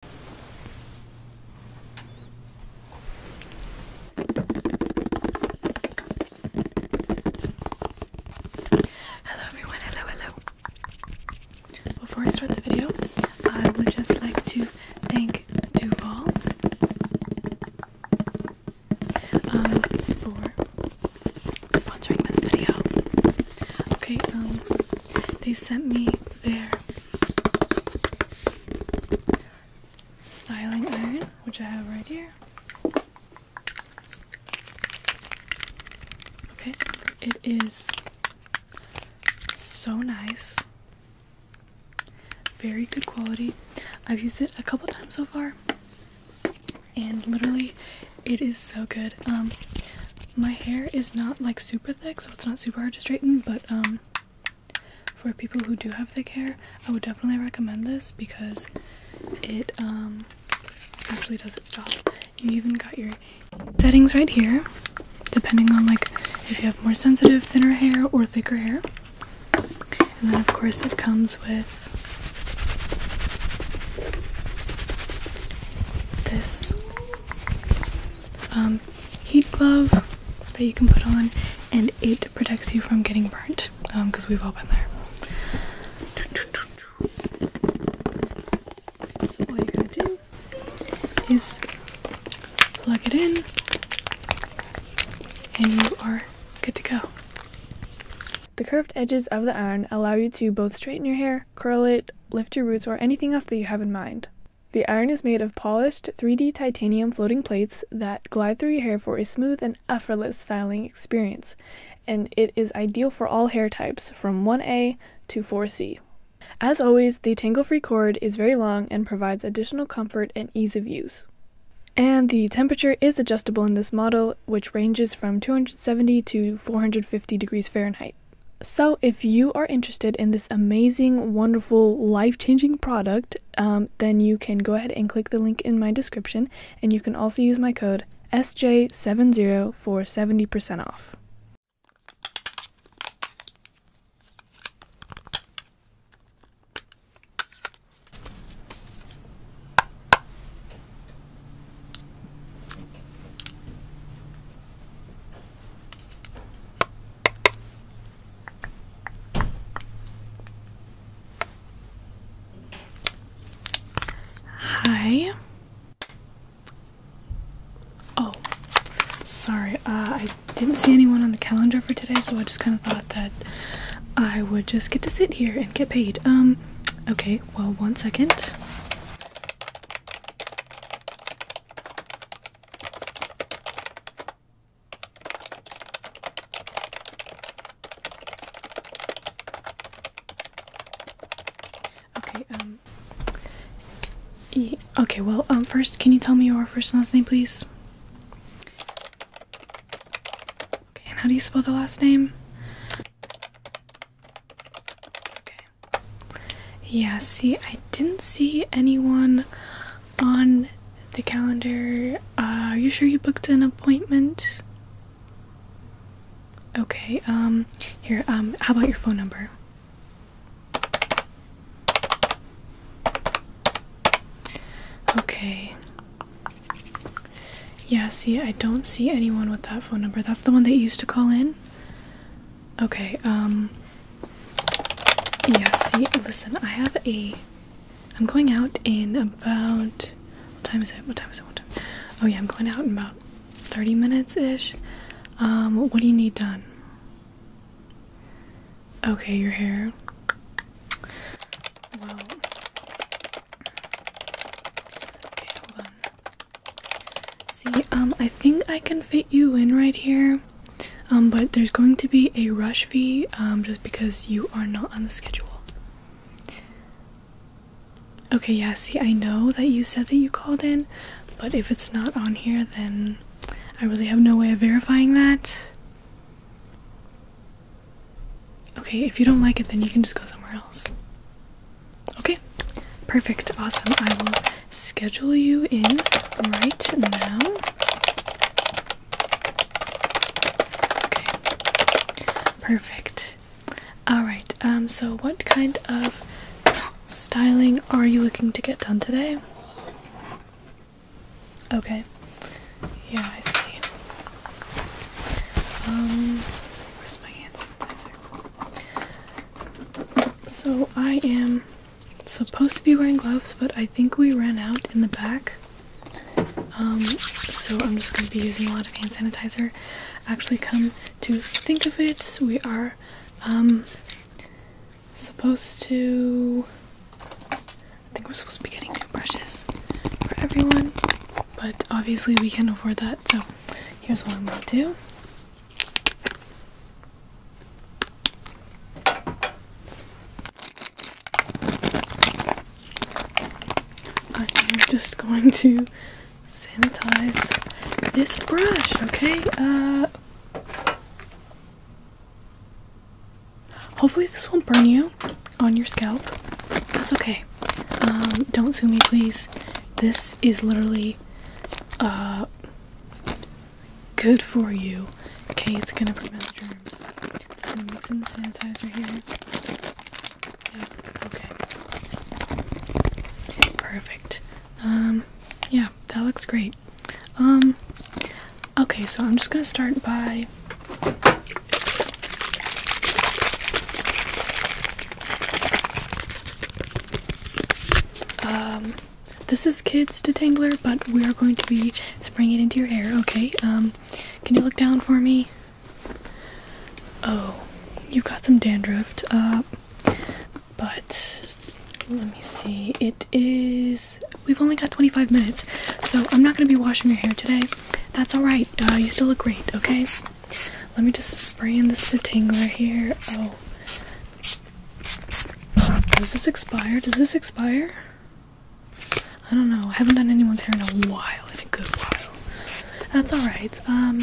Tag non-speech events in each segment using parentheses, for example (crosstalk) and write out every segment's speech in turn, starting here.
Hello everyone, hello, hello. Before I start the video, I would just like to thank Duval um, for sponsoring this video. Okay, um, they sent me there styling iron, which I have right here. Okay, it is so nice. Very good quality. I've used it a couple times so far, and literally, it is so good. Um, my hair is not like super thick so it's not super hard to straighten but um, for people who do have thick hair i would definitely recommend this because it um, actually does its job you even got your settings right here depending on like if you have more sensitive thinner hair or thicker hair and then of course it comes with this um, heat glove that you can put on, and it protects you from getting burnt because um, we've all been there. So, all you're gonna do is plug it in, and you are good to go. The curved edges of the iron allow you to both straighten your hair, curl it, lift your roots, or anything else that you have in mind. The iron is made of polished 3D titanium floating plates that glide through your hair for a smooth and effortless styling experience, and it is ideal for all hair types from 1A to 4C. As always, the tangle free cord is very long and provides additional comfort and ease of use. And the temperature is adjustable in this model, which ranges from 270 to 450 degrees Fahrenheit. So, if you are interested in this amazing, wonderful, life changing product, um, then you can go ahead and click the link in my description, and you can also use my code SJ70 for 70% off. Hi. Oh, sorry. Uh, I didn't see anyone on the calendar for today, so I just kind of thought that I would just get to sit here and get paid. Um, okay, well, one second. Okay, um okay, well, um first can you tell me your first and last name please? Okay, and how do you spell the last name? Okay. Yeah, see, I didn't see anyone on the calendar. Uh, are you sure you booked an appointment? Okay, um, here, um, how about your phone number? Okay. Yeah, see, I don't see anyone with that phone number. That's the one that you used to call in? Okay, um yeah, see, listen, I have a I'm going out in about what time is it? What time is it? What time? Oh yeah, I'm going out in about 30 minutes ish. Um, what do you need done? Okay, your hair. Well, okay, hold on. See, um, I think I can fit you in right here, um, but there's going to be a rush fee, um, just because you are not on the schedule. Okay, yeah, see, I know that you said that you called in, but if it's not on here, then I really have no way of verifying that. Okay, if you don't like it, then you can just go somewhere else. Okay, perfect, awesome. I will schedule you in right now. Okay, perfect. Alright, um, so what kind of styling are you looking to get done today? Okay, yeah, I see. Um, where's my hand sanitizer? So I am supposed to be wearing gloves, but I think we ran out in the back. Um, so I'm just going to be using a lot of hand sanitizer. Actually, come to think of it, we are um, supposed to. I think we're supposed to be getting new brushes for everyone, but obviously we can't afford that. So here's what I'm going to do. I am just going to sanitize this brush, okay? Uh, hopefully this won't burn you on your scalp. That's okay. Um, don't sue me, please. This is literally uh, good for you. Okay, it's gonna prevent the germs. I'm just the sanitizer here. Yep, okay. Perfect. Um, yeah, that looks great. Um, okay, so I'm just gonna start by. Um, this is kids detangler, but we are going to be spraying it into your hair. Okay. Um, can you look down for me? Oh, you have got some dandruff. Uh, but let me see. It is. We've only got 25 minutes, so I'm not gonna be washing your hair today. That's all right. Uh, you still look great. Okay. Let me just spray in this detangler here. Oh. Does this expire? Does this expire? I don't know. I haven't done anyone's hair in a while, in a good while. That's alright. Um,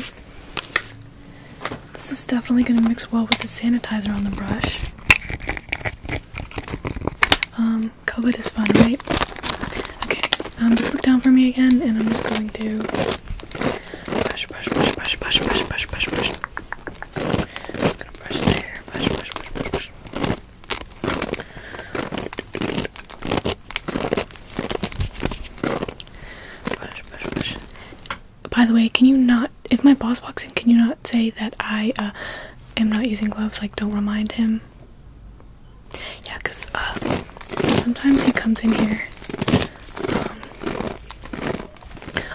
this is definitely going to mix well with the sanitizer on the brush. Um, COVID is fine, right? Okay, um, just look down for me again, and I'm just going to by the way, can you not? If my boss walks in, can you not say that I uh, am not using gloves? Like, don't remind him. Yeah, cause uh, sometimes he comes in here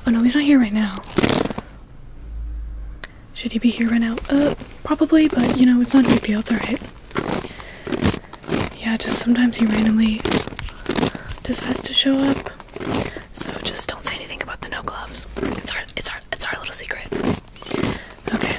oh no, he's not here right now. Should he be here right now? Uh, probably, but you know, it's not a big deal. It's Yeah, just sometimes he randomly decides to show up. So just don't say anything about the no gloves. It's our, it's our, it's our little secret. Okay.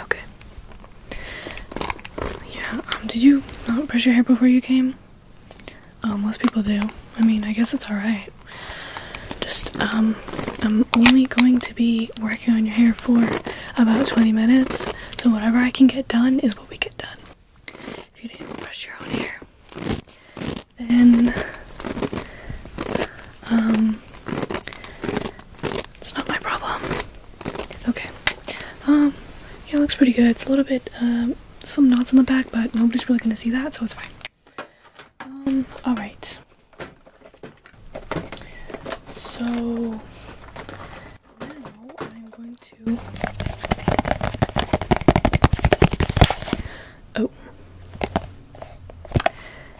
Okay. Yeah, um, did you not brush your hair before you came? Oh, most people do. I mean, I guess it's alright. Just, um, I'm only going to be working on your hair for about 20 minutes, so whatever I can get done is what we get done. If you didn't brush your own hair, then um it's not my problem. Okay. Um it looks pretty good. It's a little bit um, some knots in the back, but nobody's really gonna see that, so it's fine. Um, alright. So now I'm going to Oh.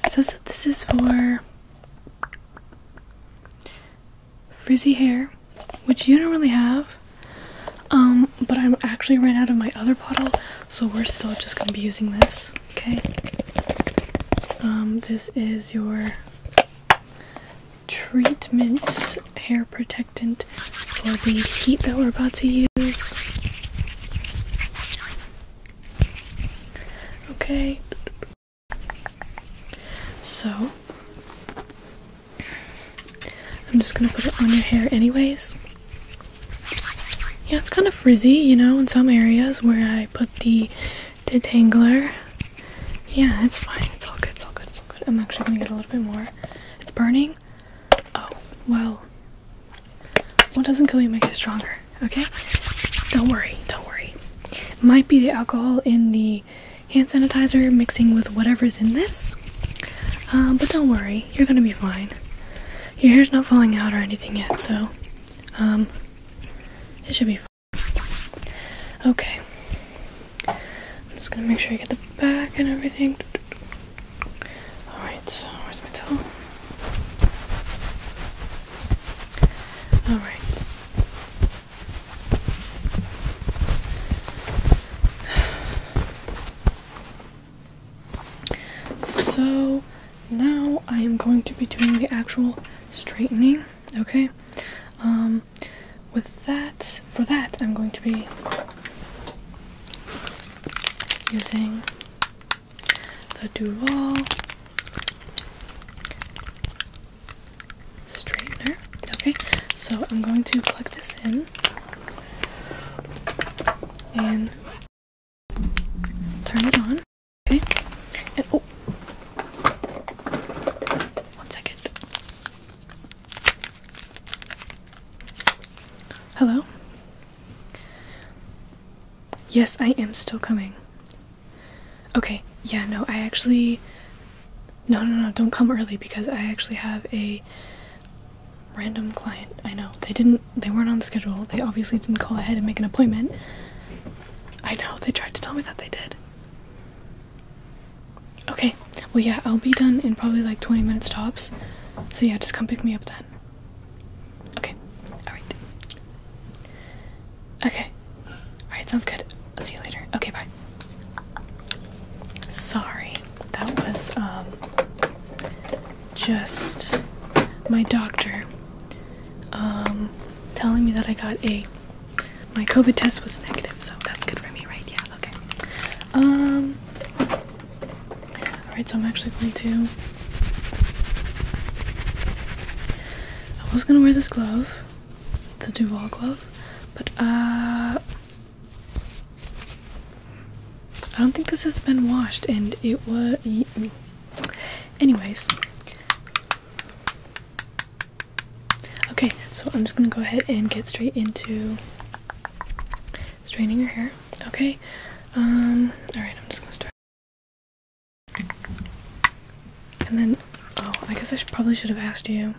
It says that this is for frizzy hair, which you don't really have. Um, but I'm actually ran out of my other bottle, so we're still just gonna be using this, okay? Um, this is your treatment hair protection disinfectant for the heat that we're about to use. Okay. So, I'm just gonna put it on your hair, anyways. Yeah, it's kind of frizzy, you know, in some areas where I put the detangler. Yeah, it's fine. It's all good. It's all good. It's all good. I'm actually gonna get a little bit more. It's burning. Oh, well. What doesn't kill you makes you stronger, okay? Don't worry, don't worry. might be the alcohol in the hand sanitizer mixing with whatever's in this. Uh, but don't worry, you're gonna be fine. Your hair's not falling out or anything yet, so um, it should be fine. Okay. I'm just gonna make sure I get the back and everything. Alright, where's my towel? Alright. So now I am going to be doing the actual straightening, okay? Um with that for that I'm going to be using the Duval straightener. Okay, so I'm going to plug this in and turn it on. Okay, and oh, one second. Hello? Yes, I am still coming. Okay, yeah, no, I actually. No, no, no, don't come early because I actually have a random client. I know. They didn't. They weren't on the schedule. They obviously didn't call ahead and make an appointment. I know. They tried to tell me that they did. Okay, well, yeah, I'll be done in probably like 20 minutes tops. So, yeah, just come pick me up then. Okay. Alright. Okay. Alright, sounds good. I'll see you later. Okay, bye. Sorry. That was, um, just my doctor, um, telling me that I got a. My COVID test was negative, so that's good for me, right? Yeah, okay. Um. Alright, so I'm actually going to. I was gonna wear this glove, the Duval glove, but uh. I don't think this has been washed, and it was. Anyways. Okay, so I'm just gonna go ahead and get straight into Straining your hair. Okay. Um. All right. I'm just gonna start. And then, oh, I guess I probably should have asked you.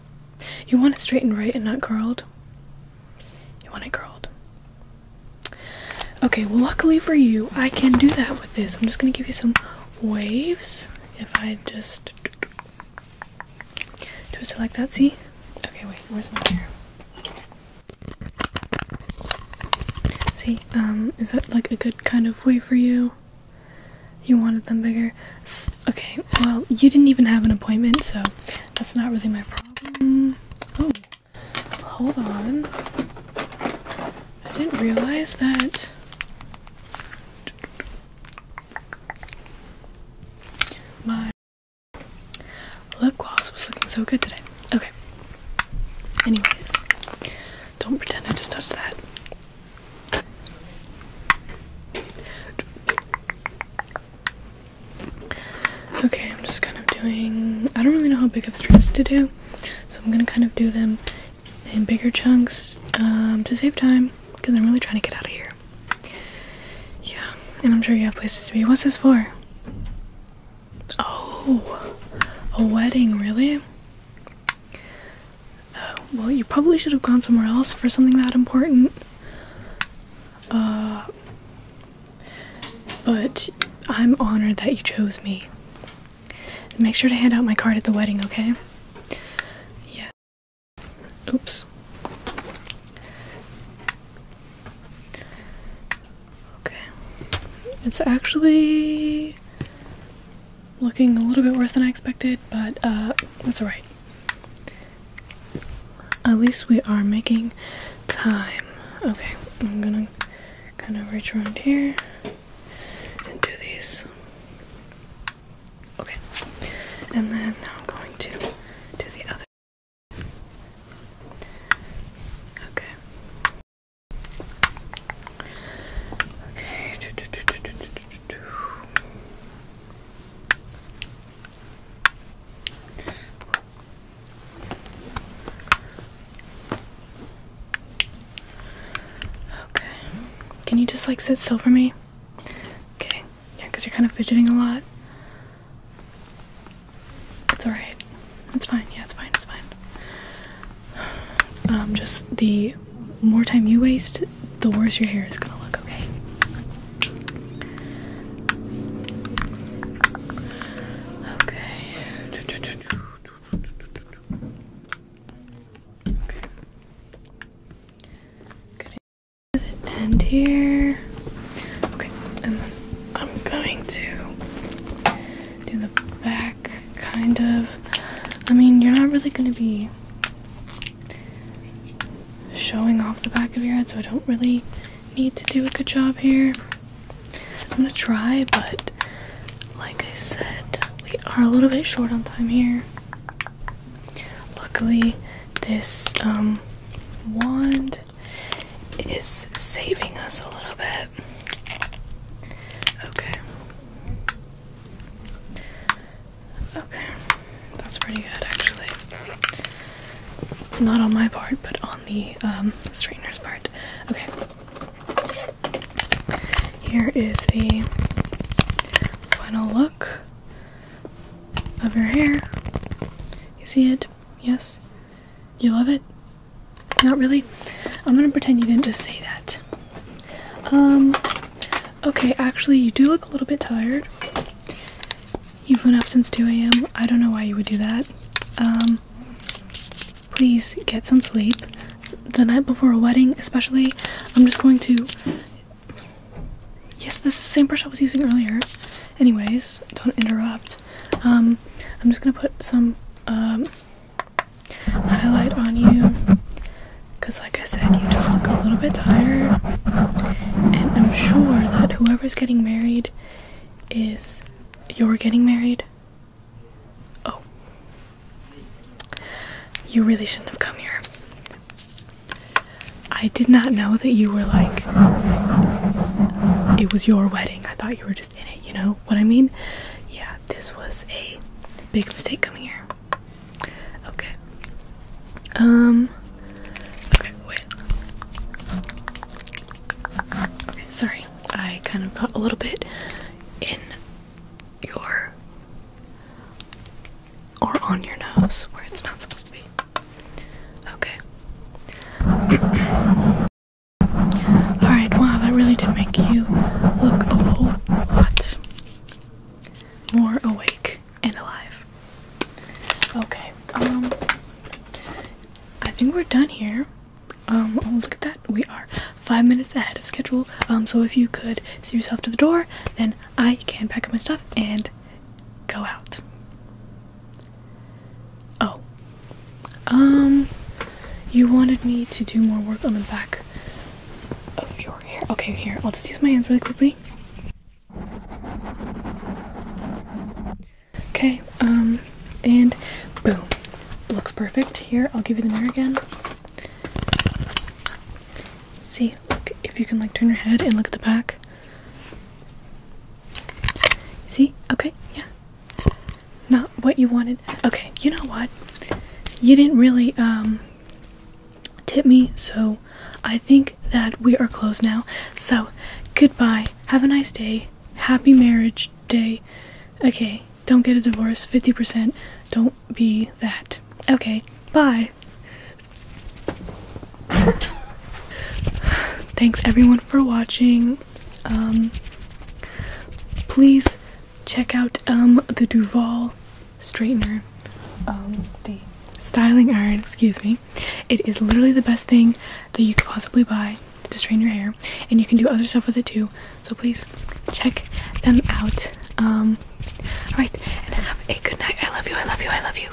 You want it straightened, right, and not curled. You want it curled. Okay. Well, luckily for you, I can do that with this. I'm just gonna give you some waves. If I just Twist it like that, see? Okay, wait, where's my hair? See, um, is that like a good kind of way for you? You wanted them bigger? okay, well, you didn't even have an appointment, so that's not really my problem. Oh, hold on. I didn't realize that. My Lip gloss was looking so good today. Okay. Anyways, don't pretend I just touched that. Okay, I'm just kind of doing. I don't really know how big of strips to do, so I'm gonna kind of do them in bigger chunks um, to save time because I'm really trying to get out of here. Yeah, and I'm sure you have places to be. What's this for? Oh, a wedding, really? Uh, well, you probably should have gone somewhere else for something that important. Uh, but I'm honored that you chose me. Make sure to hand out my card at the wedding, okay? Yeah. Oops. Okay. It's actually looking a little bit worse than I expected, but uh, that's alright. At least we are making time. Okay, I'm gonna kind of reach around here and do these. Okay, and then now I'm going to do the other Okay. Okay. Okay. Can you just like sit still for me? Okay. Yeah, because you're kind of fidgeting a lot. It's alright. It's fine. Yeah, it's fine. It's fine. Um, just the more time you waste, the worse your hair is gonna look, Okay. Okay. Good end here. Okay, and then I'm going to do the back kind of. I mean, you're not really going to be showing off the back of your head, so I don't really need to do a good job here. I'm going to try, but like I said, we are a little bit short on time here. Luckily, this um, wand is saving us a little bit. Okay. Okay, that's pretty good actually. Not on my part, but on the um, straightener's part. Okay. Here is the final look of your hair. You see it? Yes? You love it? Not really? I'm gonna pretend you didn't just say that. Um, okay, actually, you do look a little bit tired. You've been up since 2 a.m. I don't know why you would do that. Um, please get some sleep. The night before a wedding, especially, I'm just going to Yes, the same brush I was using earlier. Anyways, don't interrupt. Um, I'm just gonna put some um, highlight on you because, like I said, you just look a little bit tired. And I'm sure that whoever's getting married is you're getting married. Oh. You really shouldn't have come here. I did not know that you were like. It was your wedding. I thought you were just in it, you know what I mean? Yeah, this was a big mistake coming here. Okay. Um. Okay, wait. sorry. I kind of got a little bit in your or on your nose where it's not supposed to be. Okay. Alright, wow, that really did make you look a whole lot more awake and alive. Okay, um, I think we're done here. Um, oh, look at that. We are five minutes ahead of schedule. Um, so if you could see yourself to the door, then I can pack up my stuff and go out. Oh. Um you wanted me to do more work on the back of your hair. Okay, here. I'll just use my hands really quickly. Okay, um and boom. Looks perfect. Here, I'll give you the mirror again. See, look, if you can like turn your head and look at the back. See? Okay, yeah. Not what you wanted. Okay, you know what? You didn't really um tip me, so I think that we are closed now. So, goodbye. Have a nice day. Happy marriage day. Okay, don't get a divorce. 50%. Don't be that. Okay, bye. (laughs) Thanks everyone for watching. Um, please check out um, the Duval straightener, um, the styling iron, excuse me. It is literally the best thing that you could possibly buy to straighten your hair, and you can do other stuff with it too. So please check them out. Alright, and have a good night. I love you, I love you, I love you.